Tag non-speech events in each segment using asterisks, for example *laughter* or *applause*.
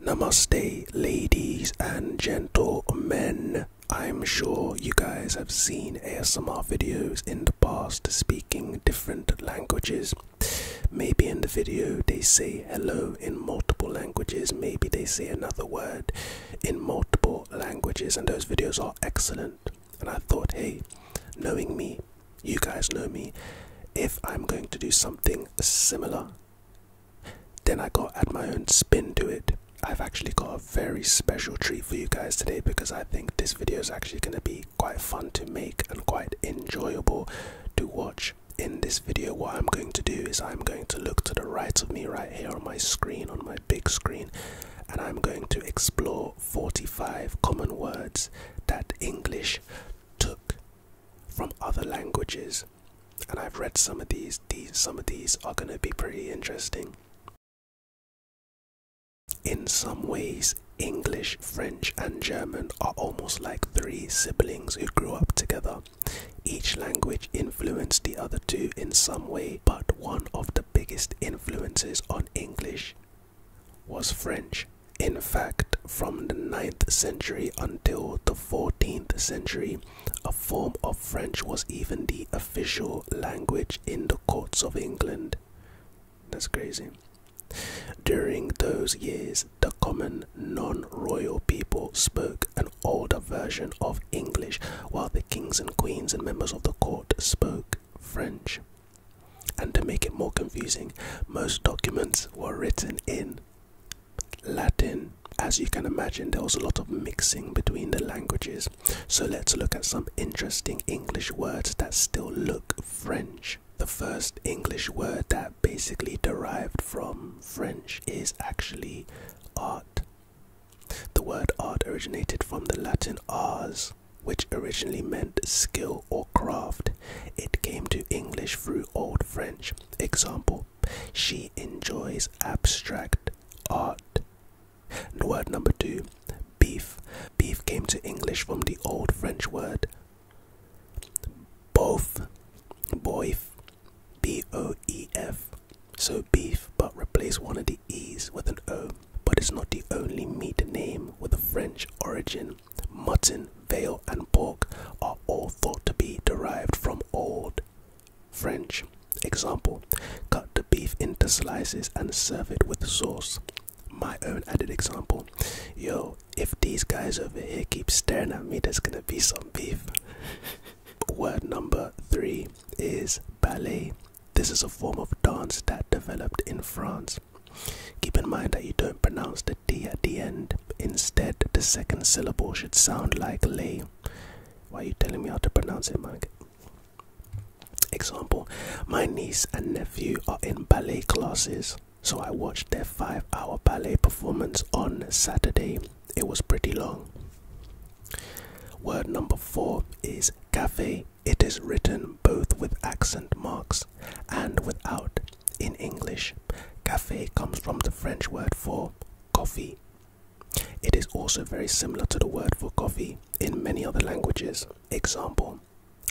Namaste, ladies and gentlemen. I'm sure you guys have seen ASMR videos in the past speaking different languages. Maybe in the video they say hello in multiple languages, maybe they say another word in multiple languages, and those videos are excellent. And I thought, hey, knowing me, you guys know me, if I'm going to do something similar, then I got add my own spin to it. I've actually got a very special treat for you guys today because I think this video is actually going to be quite fun to make and quite enjoyable to watch. In this video, what I'm going to do is I'm going to look to the right of me right here on my screen, on my big screen, and I'm going to explore 45 common words that English took from other languages and I've read some of these these some of these are going to be pretty interesting. In some ways, English, French, and German are almost like three siblings who grew up together. Each language influenced the other two in some way, but one of the biggest influences on English was French. In fact, from the ninth century until the 14th century, a form of French was even the official language in the courts of England. That's crazy. During those years, the common non royal people spoke an older version of English, while the kings and queens and members of the court spoke French. And to make it more confusing, most documents were written in Latin, as you can imagine, there was a lot of mixing between the languages. So let's look at some interesting English words that still look French. The first English word that basically derived from French is actually art. The word art originated from the Latin ars, which originally meant skill or craft. It came to English through Old French Example, she enjoys abstract art. word number two, beef. Beef came to English from the old French word boeuf, B O E F. So beef, but replace one of the E's with an O. But it's not the only meat name with a French origin mutton, veal, and pork are all thought to be derived from Old French. Example Cut the beef into slices and serve it with sauce. My own added example Yo, if these guys over here keep staring at me, there's gonna be some beef. *laughs* Word number three is ballet. This is a form of dance that developed in France. Keep in mind that you don't pronounce the D at the end. Instead, the second syllable should sound like lay. Why are you telling me how to pronounce it, Mike? Example My niece and nephew are in ballet classes, so I watched their five hour ballet performance on Saturday. It was pretty long. Word number four is cafe. It is written both with accent marks and without in English, cafe comes from the French word for coffee. It is also very similar to the word for coffee in many other languages. Example,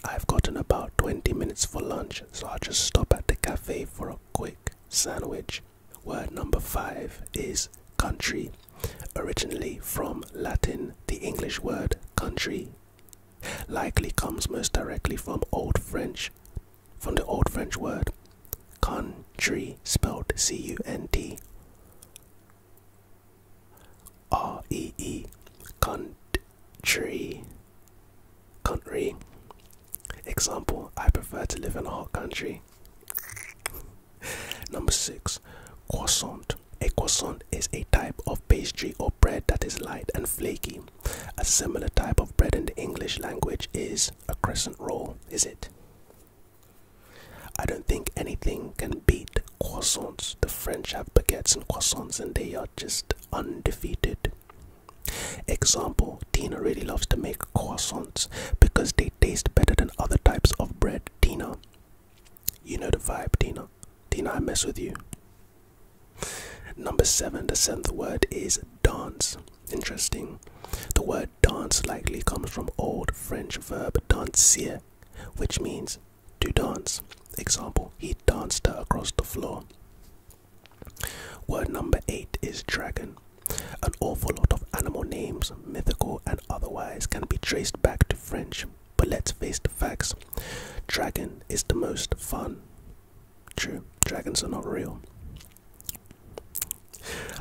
I've gotten about 20 minutes for lunch, so I'll just stop at the cafe for a quick sandwich. Word number five is country, originally from Latin, the English word country likely comes most directly from Old French from the old French word country, spelled C U N T R E E, country. Country. Example I prefer to live in a hot country. *laughs* Number six, croissant. A croissant is a type of pastry or bread that is light and flaky. A similar type of bread in the English language is a crescent roll, is it? I don't think anything can beat croissants. The French have baguettes and croissants, and they are just undefeated. Example Tina really loves to make croissants because they taste better than other types of bread. Tina, you know the vibe, Tina. Tina, I mess with you. Number seven, the seventh word is dance. Interesting. The word dance likely comes from old French verb danser, which means to dance. Example, he danced her across the floor. Word number eight is dragon. An awful lot of animal names, mythical and otherwise, can be traced back to French. But let's face the facts dragon is the most fun. True, dragons are not real.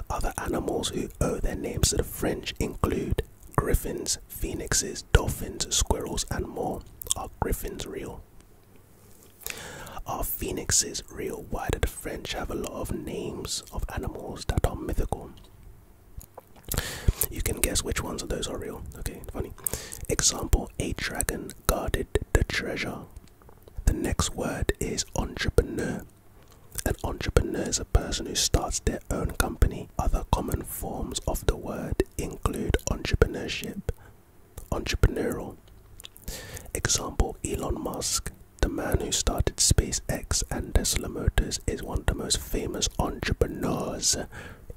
Other animals who owe their names to the French include griffins, phoenixes, dolphins, squirrels, and more. Are griffins real? Are phoenixes real? Why do the French have a lot of names of animals that are mythical? You can guess which ones of those are real. Okay, funny. Example A dragon guarded the treasure the next word is entrepreneur. An entrepreneur is a person who starts their own company. Other common forms of the word include entrepreneurship, entrepreneurial. Example Elon Musk, the man who started SpaceX and Tesla Motors, is one of the most famous entrepreneurs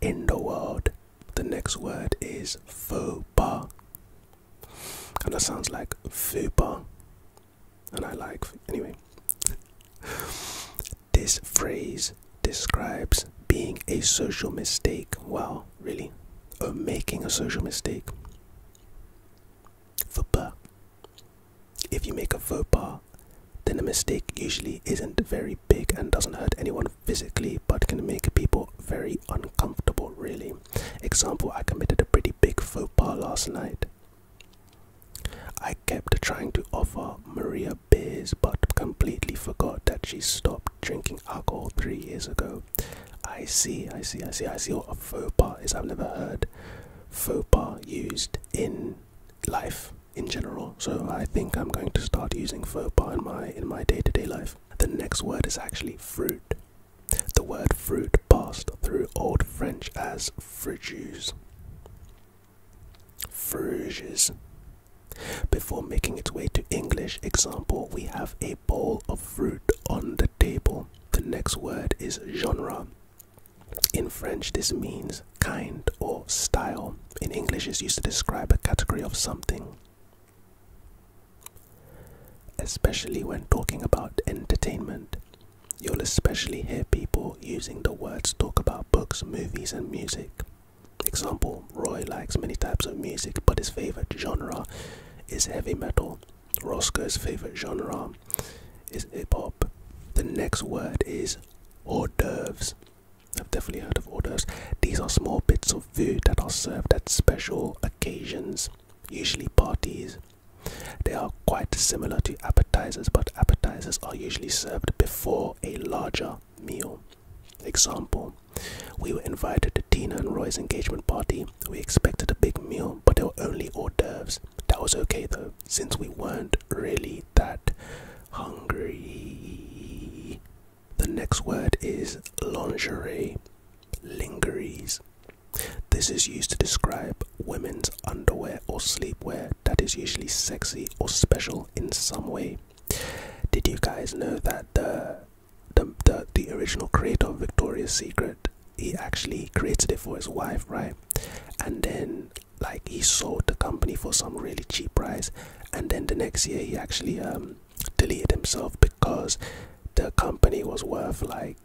in the world. The next word is faux pas. And that sounds like fupa. And I like, anyway. this phrase describes being a social mistake. Wow, really? Or making a social mistake. Fupa. If you make a faux pas, then the mistake usually isn't very big and doesn't hurt anyone physically, but can make people very uncomfortable, really. Example, I committed a pretty big faux pas last night. I kept trying to offer Maria beers but completely forgot that she stopped drinking alcohol three years ago. I see, I see, I see, I see what a faux pas is. I've never heard faux pas used in life in general. So I think I'm going to start using faux pas in my in my day to -day life. The next word is actually fruit. The word fruit passed through Old French as fruges. Fruges. Before making its way to English, example, we have a bowl of fruit on the table. The next word is genre. In French, this means kind or style. In English, it's used to describe a category of something. Especially when talking about entertainment, you'll especially hear people using the words talk about books, movies, and music. Example Roy likes many types of music, but his favorite genre is heavy metal. Roscoe's favorite genre is hip hop. The next word is hors d'oeuvres. I've definitely heard of hors d'oeuvres. These are small bits of food that are served at special occasions usually parties. They are quite similar to appetizers, but appetizers are usually served before a larger meal. Example We were invited to Tina and Roy's engagement party. We expected a big meal, but there were only hors d'oeuvres. That was okay though, since we weren't really that hungry. The next word is lingerie. Lingeries. This is used to describe women's underwear or sleepwear that is usually sexy or special in some way. Did you guys know that the the, the, the original creator of Victoria's Secret he actually created it for his wife, right? And then like he sold the company for some really cheap price and then the next year he actually um deleted himself because the company was worth like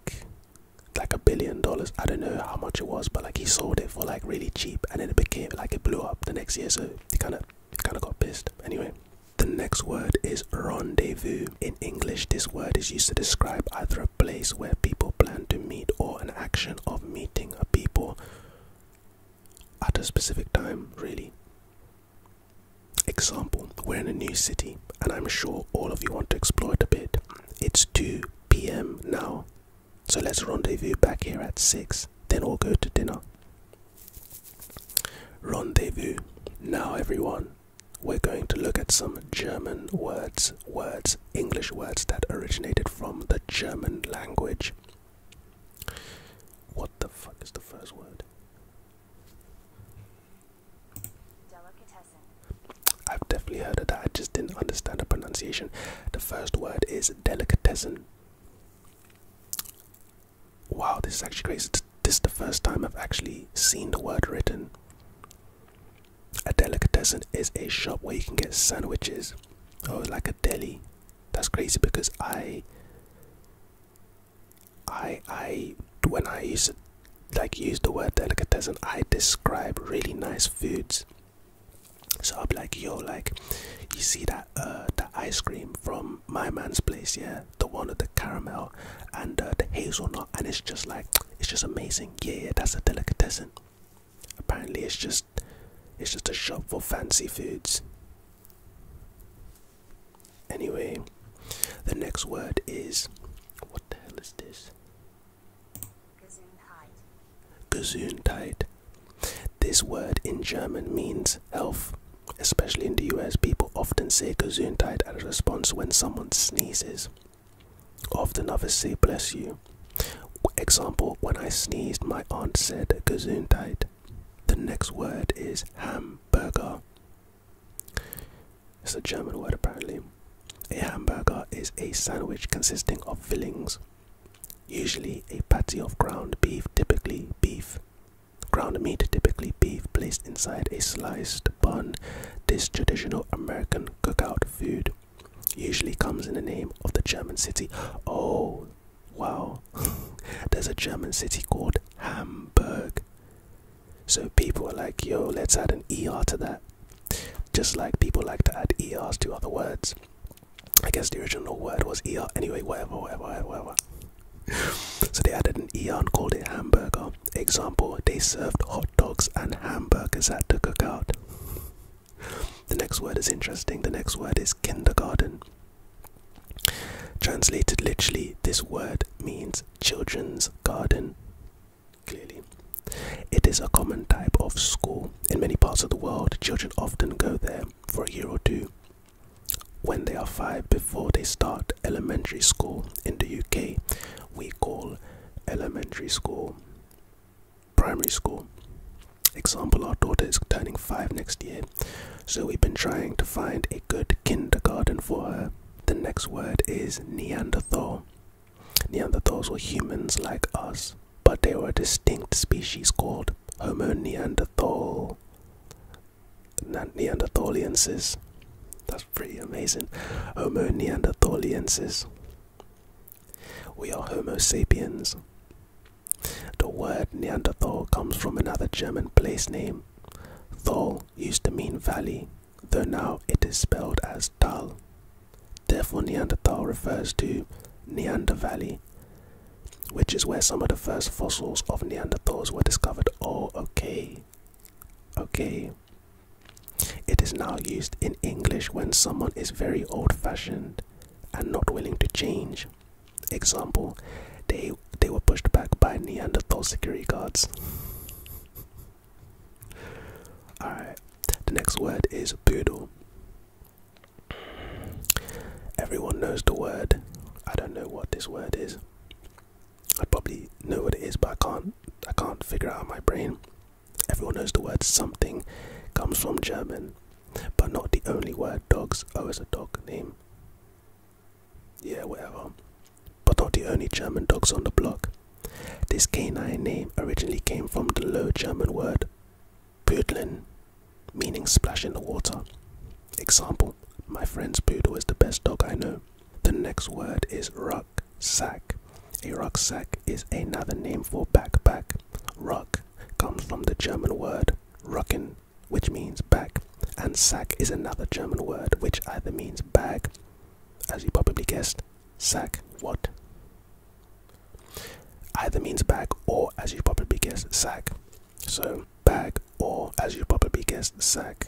like a billion dollars. I don't know how much it was, but like he sold it for like really cheap, and then it became like it blew up the next year. So he kind of kind of got pissed. Anyway, the next word is rendezvous. In English, this word is used to describe either a place where people plan to meet or an action of meeting a people at a specific time. Really, Example, we're in a new city, and I'm sure all of you want to explore it a bit. It's 2 pm now, so let's rendezvous back here at 6, then we'll go to dinner. Rendezvous. Now, everyone, we're going to look at some German words, words, English words that originated from the German language. What the fuck is the first word? I've definitely heard of that. I just didn't understand the pronunciation. The first word is delicatessen. Wow, this is actually crazy. This is the first time I've actually seen the word written. A delicatessen is a shop where you can get sandwiches. or oh, like a deli. That's crazy because I I I when I use like use the word delicatessen, I describe really nice foods. So i am like, yo, like you see that uh ice cream from my man's place, yeah, the one with the caramel and uh, the hazelnut, and it's just like it's just amazing. Yeah, yeah, that's a delicatessen. Apparently, it's just it's just a shop for fancy foods. Anyway, the next word is what the hell is this? Gesundheit. This word in German means health. Especially in the US, people often say Gesundheit as a response when someone sneezes. Often others say bless you. Example, when I sneezed, my aunt said Gesundheit. The next word is hamburger. It's a German word apparently. A hamburger is a sandwich consisting of fillings, usually a patty of ground beef, typically beef, ground meat, typically beef, placed inside a sliced bun. This traditional American cookout food usually comes in the name of the German city. Oh, wow. *laughs* There's a German city called Hamburg. So people were like, yo, let's add an ER to that. Just like people like to add ERs to other words. I guess the original word was ER anyway, whatever, whatever, whatever, so they added an ER called it hamburger. Example, they served hot dogs and hamburgers at the cookout. The next word is interesting. The next word is kindergarten. Translated literally, this word means children's garden. Clearly, it is a common type of school. In many parts of the world, children often go there for a year or two when they are five before they start elementary school. In the UK, we call elementary school primary school. Example Our daughter is turning five next year, so we've been trying to find a good kindergarten for her. The next word is Neanderthal. Neanderthals were humans like us, but they were a distinct species called Homo Neanderthal. Neanderthaliensis. That's pretty amazing. Homo Neanderthaliensis. We are Homo sapiens. The word Neanderthal comes from another German place name. Thal used to mean valley though now it is spelled as Tal. Therefore, Neanderthal refers to Neander Valley, which is where some of the first fossils of Neanderthals were discovered. Oh, okay. Okay. It is now used in English when someone is very old fashioned and not willing to change. Example, they, they were pushed back by Neanderthal security guards. Alright, the next word is poodle. Everyone knows the word. I don't know what this word is. I probably know what it is, but I can't. I can't figure out my brain. Everyone knows the word something comes from German, but not the only word dogs. Oh, it's a dog name. Yeah, whatever. But not the only German dogs on the block. This canine name originally came from the Low German word "pudlen," meaning splash in the water. Example: My friend's poodle is the best dog I know. The next word is rucksack. A rucksack is another name for backpack. Ruck comes from the German word rucken, which means back, and sack is another German word which either means bag as you probably guessed, sack what? Either means bag or, as you probably guessed, sack. So, bag or, as you probably guessed, sack.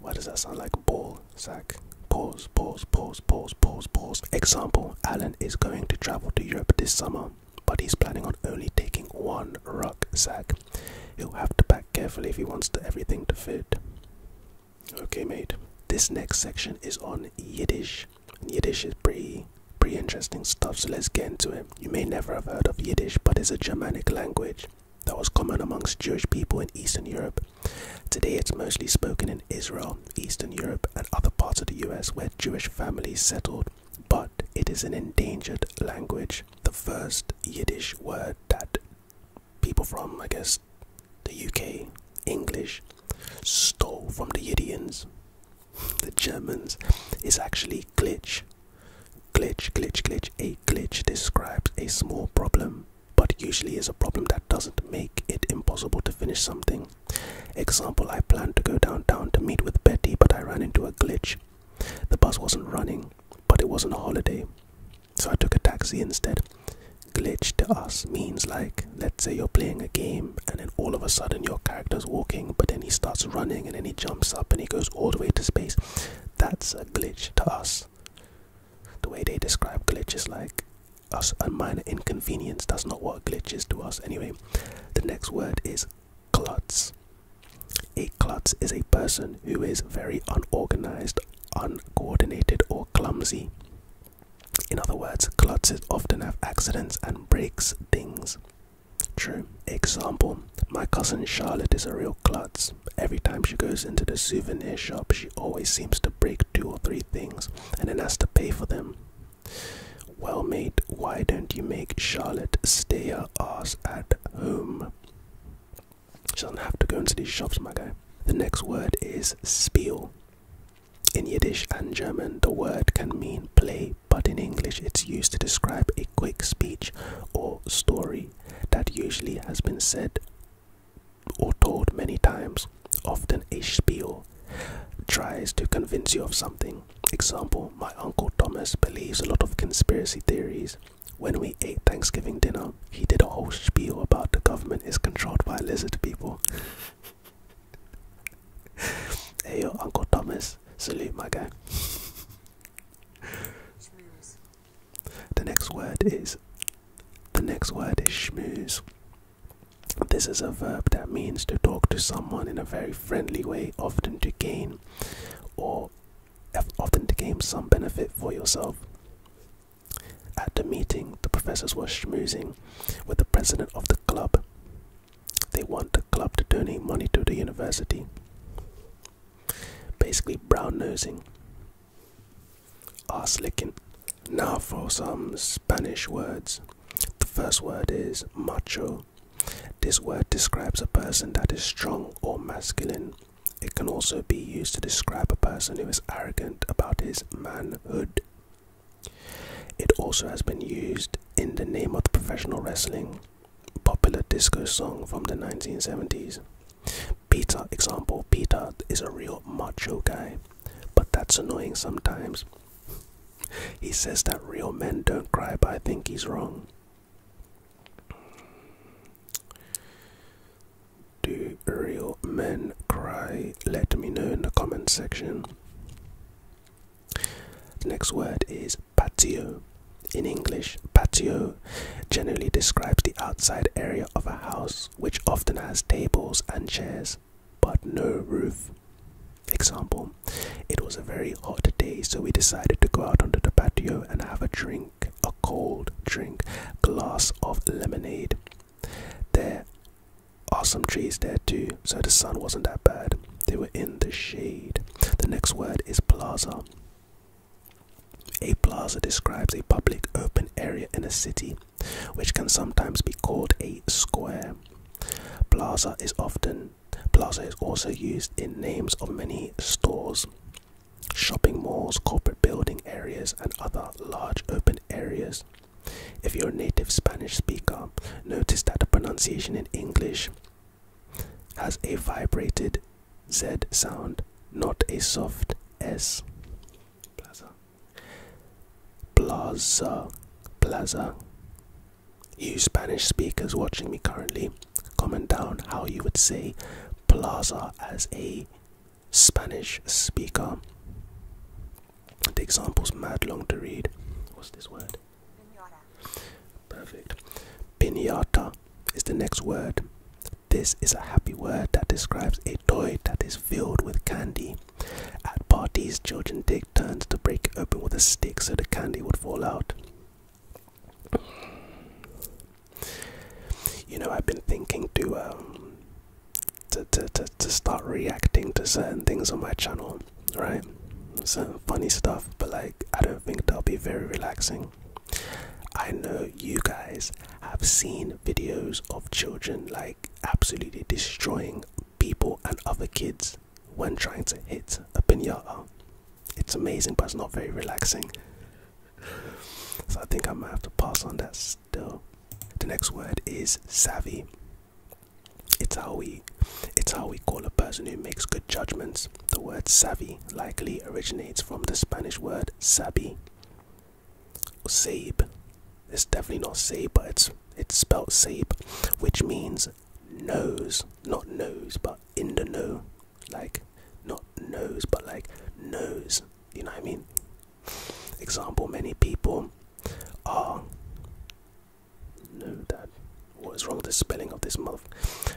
Why does that sound like ball sack? Pause, pause, pause, pause, pause, pause. Example Alan is going to travel to Europe this summer, but he's planning on only taking one rucksack. He'll have to pack carefully if he wants everything to fit. Okay, mate. This next section is on Yiddish. Yiddish is pretty pretty interesting stuff, so let's get into it. You may never have heard of Yiddish, but it's a Germanic language that was common amongst Jewish people in Eastern Europe. Today it's mostly spoken in Israel, Eastern Europe, and other parts of the US where Jewish families settled, but it is an endangered language. The first Yiddish word that people from, I guess, the UK, English, stole from the Yiddians, *laughs* the Germans, It's actually glitch. Glitch, glitch, glitch. A glitch describes a small problem, but usually is a problem that doesn't make it impossible to finish something. Example, I planned to go downtown to meet with Betty, but I ran into a glitch. The bus wasn't running, but it wasn't a holiday. So I took a taxi instead. Glitch to us means like, let's say you're playing a game and then all of a sudden your character's walking, but then he starts running and then he jumps up and he goes all the way to space. That's a glitch to us. The way they describe glitches like us a minor inconvenience. That's not what a glitch is to us. Anyway, the next word is klutz. A klutz is a person who is very unorganized, uncoordinated or clumsy. In other words, clutters often have accidents and breaks things. True. Example My cousin Charlotte is a real klutz. Every time she goes into the souvenir shop, she always seems to break two or three things and then has to pay for them. Well, mate, why don't you make Charlotte stay her arse at home? She doesn't have to go into these shops, my guy. The next word is spiel. In Yiddish and German, the word can mean play, but in English, it's used to describe a quick speech or story that usually has been said or told many times. Often, a spiel tries to convince you of something. Example My uncle Thomas believes a lot of conspiracy theories. When we ate Thanksgiving dinner, he did a whole spiel about the government is controlled by lizard people. *laughs* hey your Uncle Thomas, salute my guy. Schmooze. The next word is the next word is schmooze. This is a verb that means to talk to someone in a very friendly way, often to gain or often to gain some benefit for yourself. At the meeting, the professors were schmoozing with the president of the club. They want the club to donate money to the university. Basically, brown nosing, ass licking. Now for some Spanish words. The first word is macho. This word describes a person that is strong or masculine, it can also be used to describe a person who is arrogant about his manhood. It also has been used in the name of professional wrestling popular disco song from the 1970s. Peter, example, Peter is a real macho guy, but that's annoying sometimes. *laughs* he says that real men don't cry, but I think he's wrong. Do real men cry? Let me know in the comment section. The next word is patio. In English, patio generally describes the outside area of a house which often has tables and chairs but no roof. Example, it was a very hot day so we decided to go out onto the patio and have a drink a cold drink, glass of lemonade. There are some trees there too, so the sun wasn't that bad. They were in the shade. The next word is plaza. A plaza describes a public open area in a city, which can sometimes be called a square. Plaza is often plaza is also used in names of many stores shopping malls, corporate building areas, and other large open areas. If you're a native Spanish speaker, notice that the pronunciation in English has a vibrated Z sound, not a soft S. Plaza. Plaza. Plaza. You Spanish speakers watching me currently, comment down how you would say plaza as a Spanish speaker. The example's mad long to read. What's this word? Perfect. Pinata is the next word. This is a happy word that describes a toy that is filled with candy. At parties, children take turns to break it open with a stick so the candy would fall out. You know, I've been thinking um, to to to to, start reacting to certain things on my channel, right? Some funny stuff, but like I don't think that'll be very relaxing. I know you guys have seen videos of children like absolutely destroying people and other kids when trying to hit a pinata. It's amazing, but it's not very relaxing. So I think I might have to pass on that the next word is savvy. It's how we it's how we call a person who makes good judgments. The word savvy likely originates from the Spanish word sabi or It's definitely not sabe, but it's it's spelled sabe, which means knows, not knows, but in the know. Like not knows, but like knows. You know what I mean? Example many people are. No, that. What is wrong with the spelling of this month?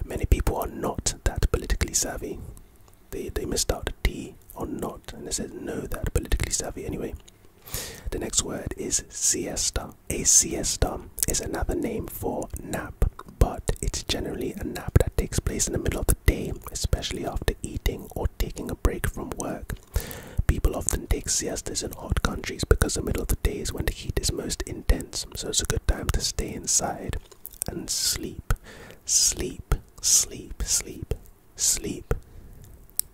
Many people are not that politically savvy. They, they missed out the D or not, and it says no that politically savvy anyway. The next word is siesta. A siesta is another name for nap, but it's generally a nap that takes place in the middle of the day, especially after eating or taking a break from work. People often take siestas in hot countries because the middle of the day is when the heat is most intense, so it's a good time to stay inside and sleep. Sleep, sleep, sleep, sleep.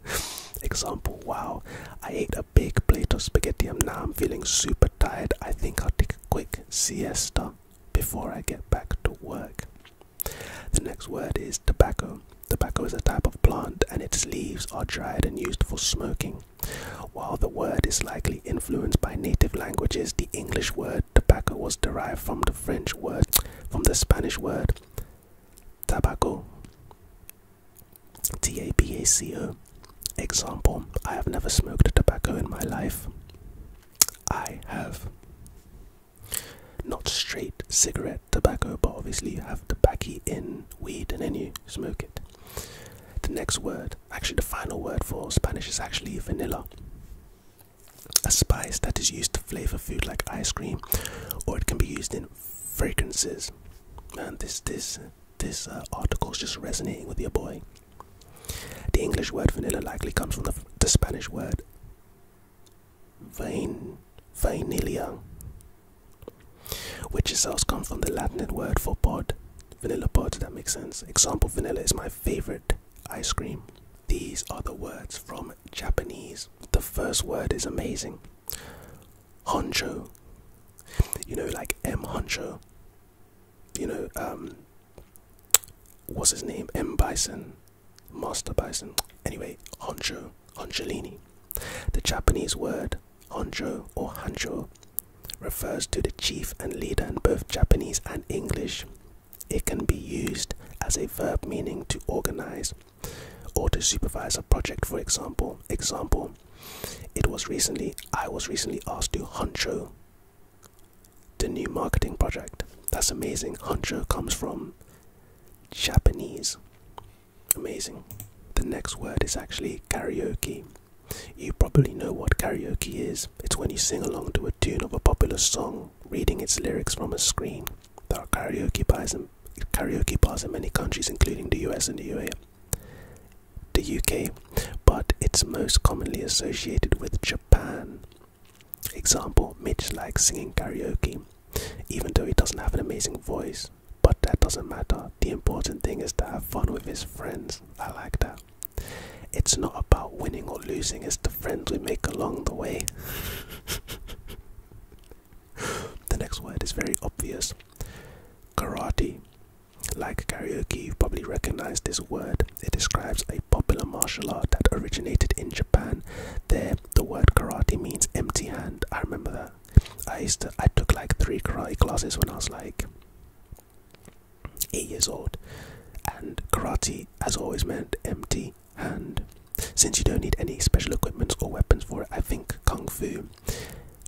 *laughs* Example, wow, I ate a big plate of spaghetti and now I'm feeling super tired. I think I'll take a quick siesta before I get back to work. The next word is tobacco. Tobacco is a type of plant and its leaves are dried and used for smoking. While the word is likely influenced by native languages, the English word tobacco was derived from the French word, from the Spanish word tabaco. T A B A C O. Example I have never smoked tobacco in my life. I have. Not straight cigarette tobacco, but obviously you have tobacco in weed and then you smoke it. The next word, actually, the final word for Spanish is actually vanilla. A spice that is used to flavor food like ice cream, or it can be used in fragrances. Man, this this this uh, article is just resonating with your boy. The English word vanilla likely comes from the Spanish word Vain, vanilla, which itself comes from the Latin word for pod, vanilla pod. That makes sense. Example: vanilla is my favorite ice cream. These are the words from Japanese. The first word is amazing. Honcho, you know, like M Honcho. You know, um, what's his name? M. Bison, Master Bison. Anyway, Onjo, Honcholini. The Japanese word Onjo or Hancho refers to the chief and leader in both Japanese and English. It can be used as a verb meaning to organize or to supervise a project, for example. Example, it was recently, I was recently asked to honcho the new marketing project. That's amazing. Honcho comes from Japanese. Amazing. The next word is actually karaoke. You probably know what karaoke is. It's when you sing along to a tune of a popular song, reading its lyrics from a screen. There are karaoke bars in, karaoke bars in many countries, including the US and the UA, the UK, but it's most commonly associated with Japan. Example, Mitch likes singing karaoke, even though he doesn't have an amazing voice. But that doesn't matter. The important thing is to have fun with his friends. I like that. It's not about winning or losing, it's the friends we make along the way. *laughs* the next word is very obvious karate. Like karaoke, you probably recognize this word. It describes a popular martial art that originated in Japan. Japan, there the word karate means empty hand. I remember that. I used to I took like three karate classes when I was like eight years old, and karate as always meant empty hand. Since you don't need any special equipment or weapons for it, I think kung fu,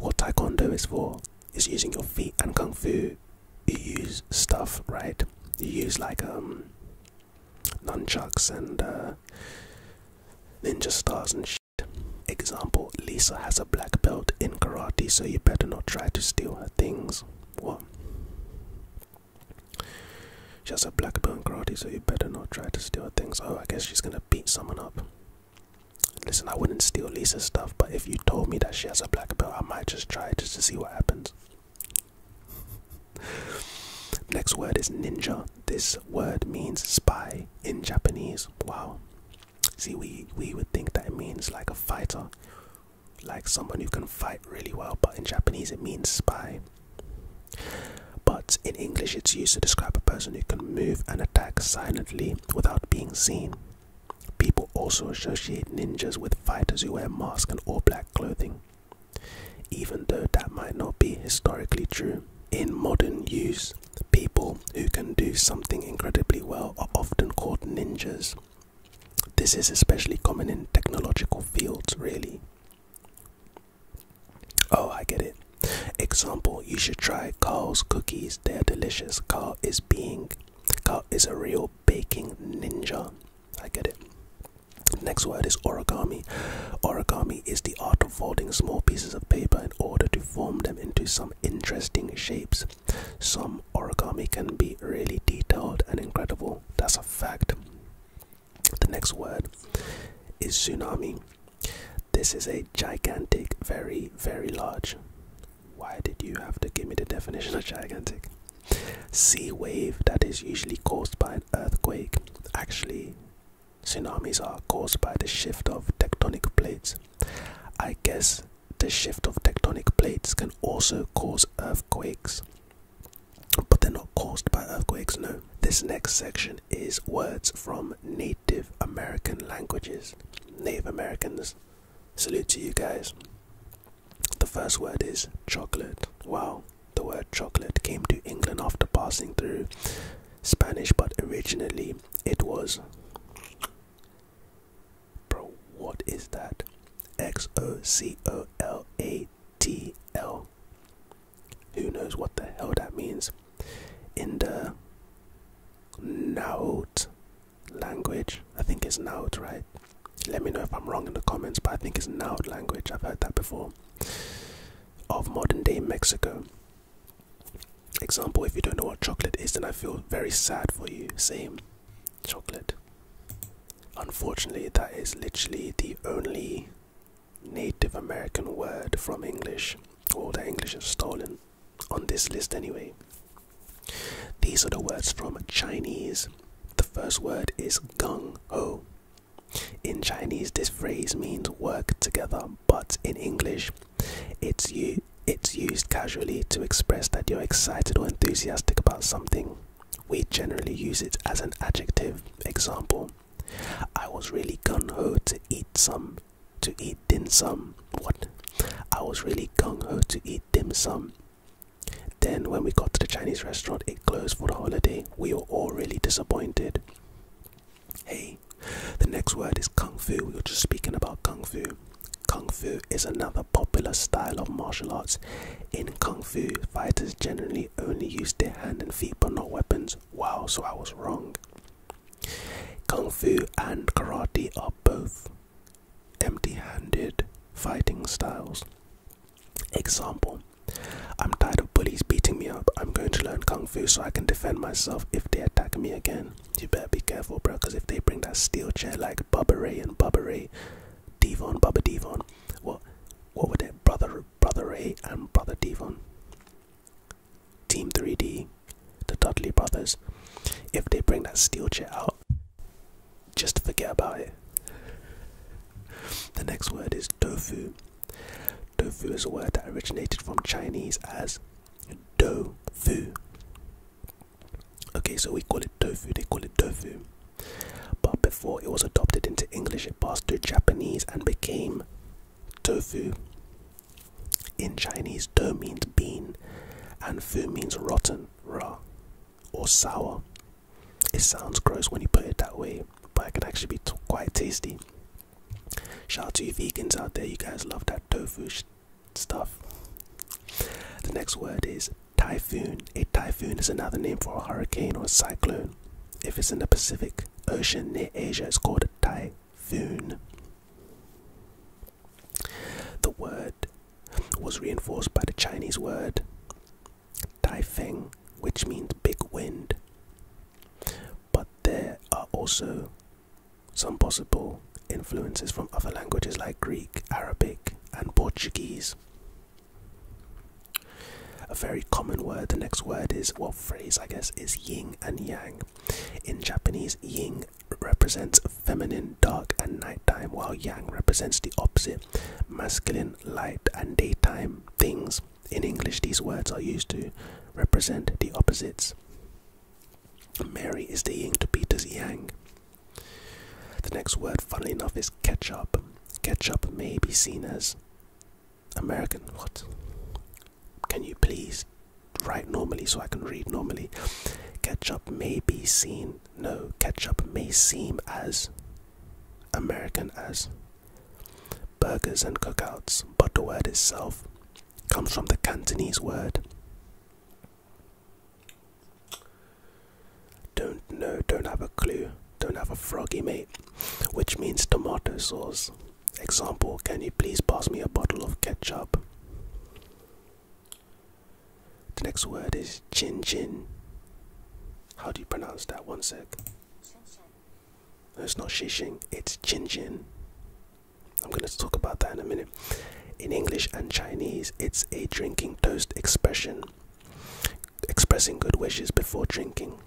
what taekwondo is for, is using your feet, and kung fu, you use stuff, right? You use like um nunchucks and uh, ninja stars and shit. Example, Lisa has a black belt in karate, so you better not try to steal her things. What? She has a black belt in karate, so you better not try to steal her things. Oh, I guess she's gonna beat someone up. Listen, I wouldn't steal Lisa's stuff, but if you told me that she has a black belt, I might just try just to see what happens. Next word is ninja. This word means spy in Japanese. Wow. See, we, we would think that means like a fighter, like someone who can fight really well, but in Japanese it means spy. But in English, it's used to describe a person who can move and attack silently without being seen. People also associate ninjas with fighters who wear masks and all black clothing. Even though that might not be historically true, in modern use, people who can do something incredibly well are often called ninjas. This is especially common in technological fields, really. Oh, I get it. Example, you should try Carl's cookies. They're delicious. Carl is being Carl is a real baking ninja. I get it. Next word is origami. Origami is the art of folding small pieces of paper in order to form them into some interesting shapes. Some origami can be really detailed and incredible. That's a fact. The next word is tsunami. This is a gigantic, very, very large. Why did you have to give me the definition of gigantic? Sea wave that is usually caused by an earthquake. Actually, tsunamis are caused by the shift of tectonic plates. I guess the shift of tectonic plates can also cause earthquakes, but they're not caused by earthquakes, no. This next section is words from Native American languages. Native Americans, salute to you guys. The first word is chocolate. Wow, the word chocolate came to England after passing through Spanish, but originally it was. Bro, what is that? X O C O L A T L. Who knows what the hell that means? In the Naut language, I think it's Naut, right? Let me know if I'm wrong in the comments, but I think it's Naut language. I've heard that before of modern day Mexico. Example, if you don't know what chocolate is, then I feel very sad for you. Same chocolate. Unfortunately, that is literally the only Native American word from English. All the English have stolen on this list, anyway. These are the words from Chinese. The first word is gung ho. In Chinese, this phrase means work together, but in English, it's, it's used casually to express that you're excited or enthusiastic about something. We generally use it as an adjective. Example: I was really gung ho to eat some, to eat dim sum. What? I was really gung ho to eat dim sum. Then, when we got to the Chinese restaurant, it closed for the holiday. We were all really disappointed. Hey, the next word is Kung Fu. We were just speaking about Kung Fu. Kung Fu is another popular style of martial arts. In Kung Fu, fighters generally only use their hand and feet but not weapons. Wow, so I was wrong. Kung Fu and Karate are both empty handed fighting styles. Example I'm tired of bullies beating me up. I'm going to learn kung fu so I can defend myself if they attack me again. You better be careful, bro, because if they bring that steel chair like Bubba Ray and Bubba Ray, Devon, Bubba Devon, what, what were they? Brother, Brother Ray and Brother Devon. Team 3D, the Dudley brothers. If they bring that steel chair out, just forget about it the next word is tofu. Tofu is a word that originated from Chinese as do fu. Okay, so we call it tofu, they call it tofu. But before it was adopted into English, it passed to Japanese and became tofu. In Chinese, do means bean and fu means rotten, raw, or sour. It sounds gross when you put it that way, but it can actually be quite tasty. Shout to you vegans out there, you guys love that tofu stuff. The next word is typhoon. A typhoon is another name for a hurricane or a cyclone. If it's in the Pacific Ocean near Asia, it's called a typhoon. The word was reinforced by the Chinese word Taifeng, which means big wind. But there are also some possible influences from other languages like Greek, Arabic, and Portuguese. A very common word, the next word is, what phrase I guess, is yin and yang. In Japanese, yin represents feminine, dark, and nighttime, while yang represents the opposite, masculine, light, and daytime things. In English, these words are used to represent the opposites. Mary is the yin to Peter's yang. The next word, funnily enough, is ketchup. Ketchup may be seen as American. What? Can you please write normally so I can read normally? Ketchup may be seen. No, ketchup may seem as American as burgers and cookouts, but the word itself comes from the Cantonese word. Don't know, don't have a clue, don't have a froggy mate, which means tomato sauce. Example, can you please pass me a bottle of ketchup? The next word is chin chin. How do you pronounce that? One sec. It's not Xixing, it's Chin Chin. I'm going to talk about that in a minute. In English and Chinese, it's a drinking toast expression, expressing good wishes before drinking.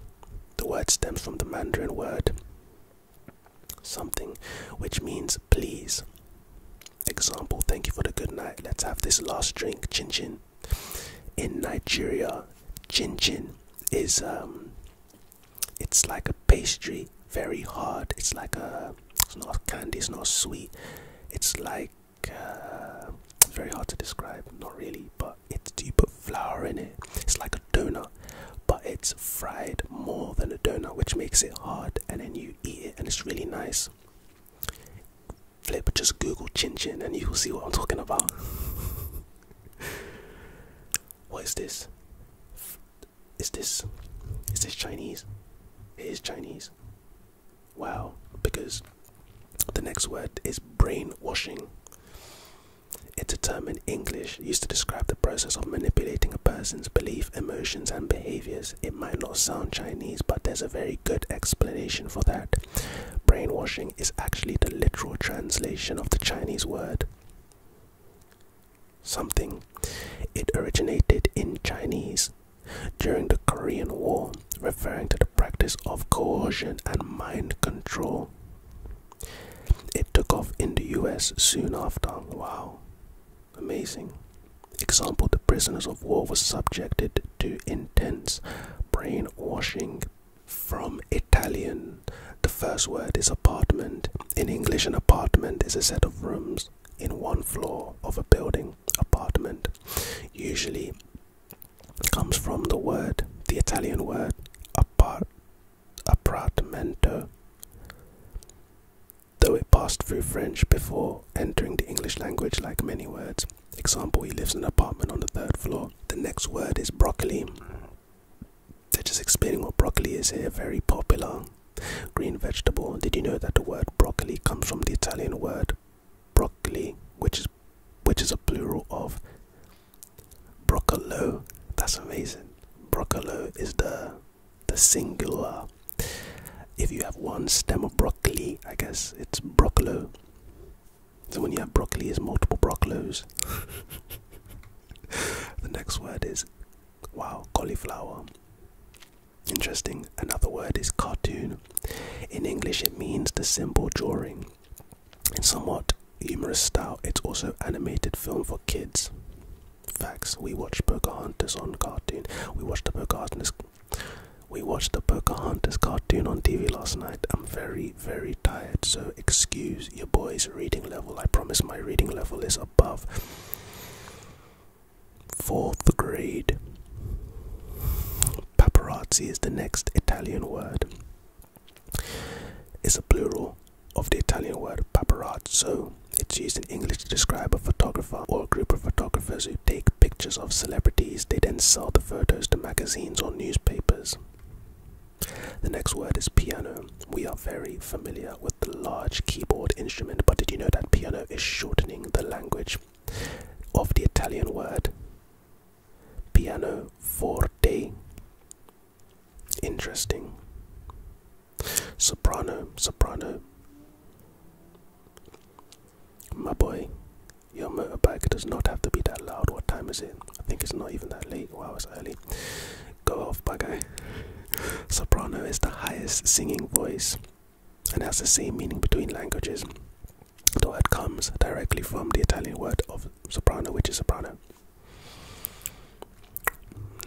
The word stems from the Mandarin word something, which means please. Example, thank you for the good night. Let's have this last drink, chin chin. In Nigeria, chin chin is um, it's like a pastry, very hard. It's like a, it's not candy, it's not sweet. It's like uh, very hard to describe, not really, but it's you put flour in it. It's like a donut, but it's fried more than a donut, which makes it hard. And then you eat it, and it's really nice. Flip, just Google chin chin, and you will see what I'm talking about. *laughs* what is this? Is this is this Chinese? It is Chinese. Wow, because the next word is brainwashing. It's a term in English used to describe the process of manipulating a person's beliefs, emotions, and behaviors. It might not sound Chinese, but there's a very good explanation for that. Brainwashing is actually the literal translation of the Chinese word something. It originated in Chinese during the Korean War, referring to the practice of coercion and mind control. It took off in the US soon after. Wow, amazing. Example The prisoners of war were subjected to intense brainwashing from Italian. The first word is apartment. In English, an apartment is a set of rooms in one floor of a building. Apartment usually comes from the word, the Italian word apart, appartamento, though it passed through French before entering the English language like many words. Example, he lives in an apartment on the third floor. The next word is broccoli. They're just explaining what broccoli is here, very popular green vegetable. Did you know that the word broccoli comes from the Italian word broccoli, which is which is a plural of broccolo? That's amazing. Broccolo is the the singular. If you have one stem of broccoli, I guess it's broccolo. So when you have broccoli, it's multiple broccolos. *laughs* the next word is wow, cauliflower. Interesting. Another word is cartoon. In English, it means the symbol drawing. In somewhat humorous style, it's also animated film for kids. Facts. We watched Pocahontas on cartoon. We watched the Pocahontas. We watched the Pocahontas cartoon on TV last night. I'm very very, tired, so excuse your boy's reading level. I promise my reading level is above fourth grade. Paparazzi is the next Italian word. It's a plural of the Italian word paparazzo. It's used in English to describe a photographer or a group of photographers who take pictures of celebrities. They then sell the photos to magazines or newspapers. The next word is piano. We are very familiar with the large keyboard instrument, but did you know that piano is shortening the language of the Italian word piano forte? Interesting. Soprano, soprano. My boy, your motorbike does not have to be that loud. What time is it? I think it's not even that late. Wow, it's early. Go off, bug guy. Soprano is the highest singing voice and has the same meaning between languages. The word comes directly from the Italian word of soprano, which is soprano.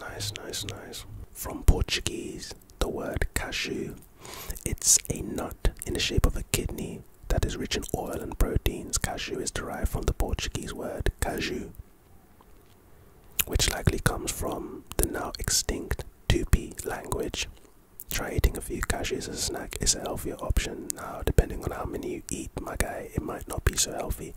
Nice, nice, nice. From Portuguese, the word cashew. It's a nut in the shape of a kidney that is rich in oil and proteins. Cashew is derived from the Portuguese word caju, which likely comes from the now extinct Tupi language. Try eating a few cashews as a snack It's a healthier option. Now, depending on how many you eat, my guy, it might not be so healthy.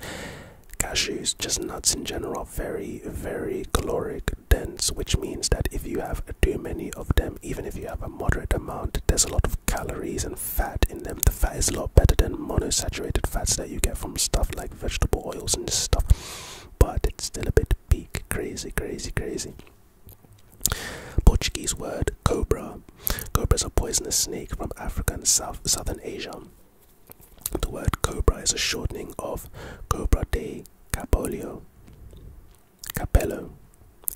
Cashews, just nuts in general, are very, very caloric dense, which means that if you have too many of them, even if you have a moderate amount, there's a lot of calories and fat in them. The fat is a lot better than monosaturated fats that you get from stuff like vegetable oils and stuff, but it's still a bit big. Crazy, crazy, crazy. Portuguese word cobra. Cobra is a poisonous snake from Africa and South, southern Asia. The word cobra is a shortening of Cobra de Capolio. Capello,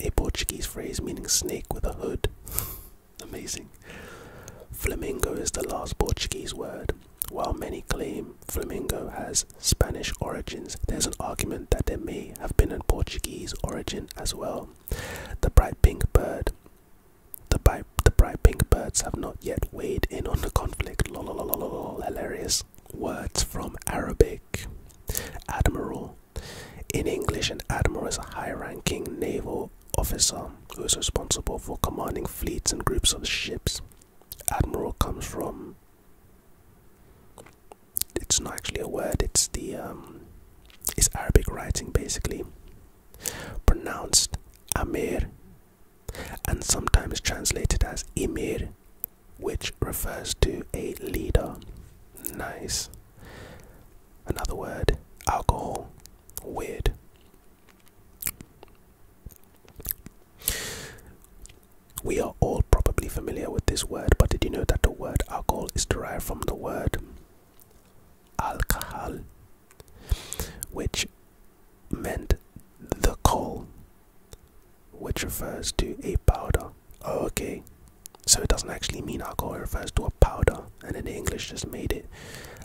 a Portuguese phrase meaning snake with a hood. Amazing. Flamingo is the last Portuguese word. While many claim flamingo has Spanish origins, there's an argument that there may have been a Portuguese origin as well. The bright pink bird. The, bi the bright pink birds have not yet weighed in on the conflict. Lololololol, hilarious. Words from Arabic. Admiral, in English, an admiral is a high ranking naval officer who is responsible for commanding fleets and groups of ships. Admiral comes from. It's not actually a word, it's the. Um, it's Arabic writing basically, pronounced Amir and sometimes translated as Emir, which refers to a leader. Nice. Another word, alcohol. Weird. We are all probably familiar with this word, but did you know that the word alcohol is derived from the word alcohol, which meant the coal, which refers to a powder. Oh, okay, so it doesn't actually mean alcohol, it refers to a powder, and then the English just made it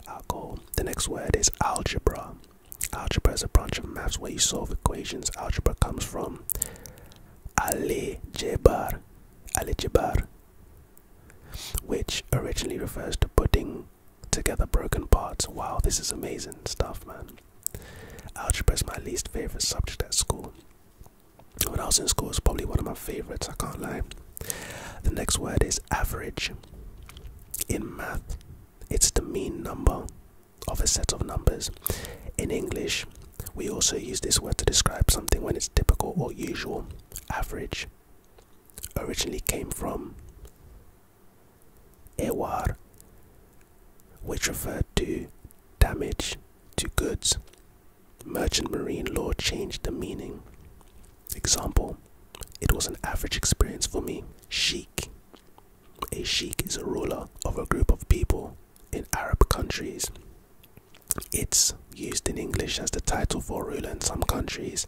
alcohol. The next word is algebra. Algebra is a branch of maths where you solve equations. Algebra comes from algebra, algebra, which originally refers to putting together broken parts. Wow, this is amazing stuff, man. Algebra is my least favorite subject at school when I was in school, it's probably one of my favorites, I can't lie. The next word is average. In math, it's the mean number of a set of numbers. In English, we also use this word to describe something when it's typical or usual. Average originally came from ewar, which referred to damage to goods. Merchant marine law changed the meaning. Example, it was an average experience for me. Sheikh. A sheikh is a ruler of a group of people in Arab countries. It's used in English as the title for ruler in some countries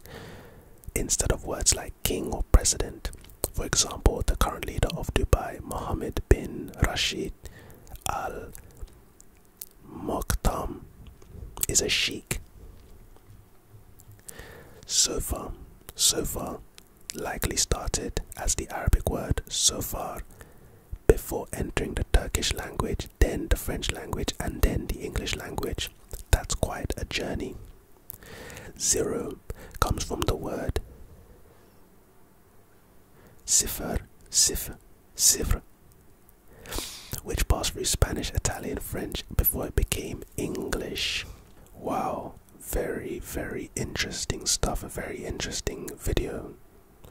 instead of words like king or president. For example, the current leader of Dubai, Mohammed bin Rashid Al Moktam is a sheikh. Sofa, sofa likely started as the Arabic word sofar before entering the Turkish language, then the French language, and then the English language. That's quite a journey. Zero comes from the word sifar, sif, Cifre, which passed through Spanish, Italian, French before it became English. Wow, very, very interesting stuff. A very interesting video,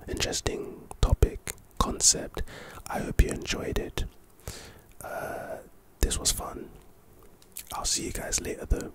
interesting topic, concept. I hope you enjoyed it. Uh, this was fun. I'll see you guys later though.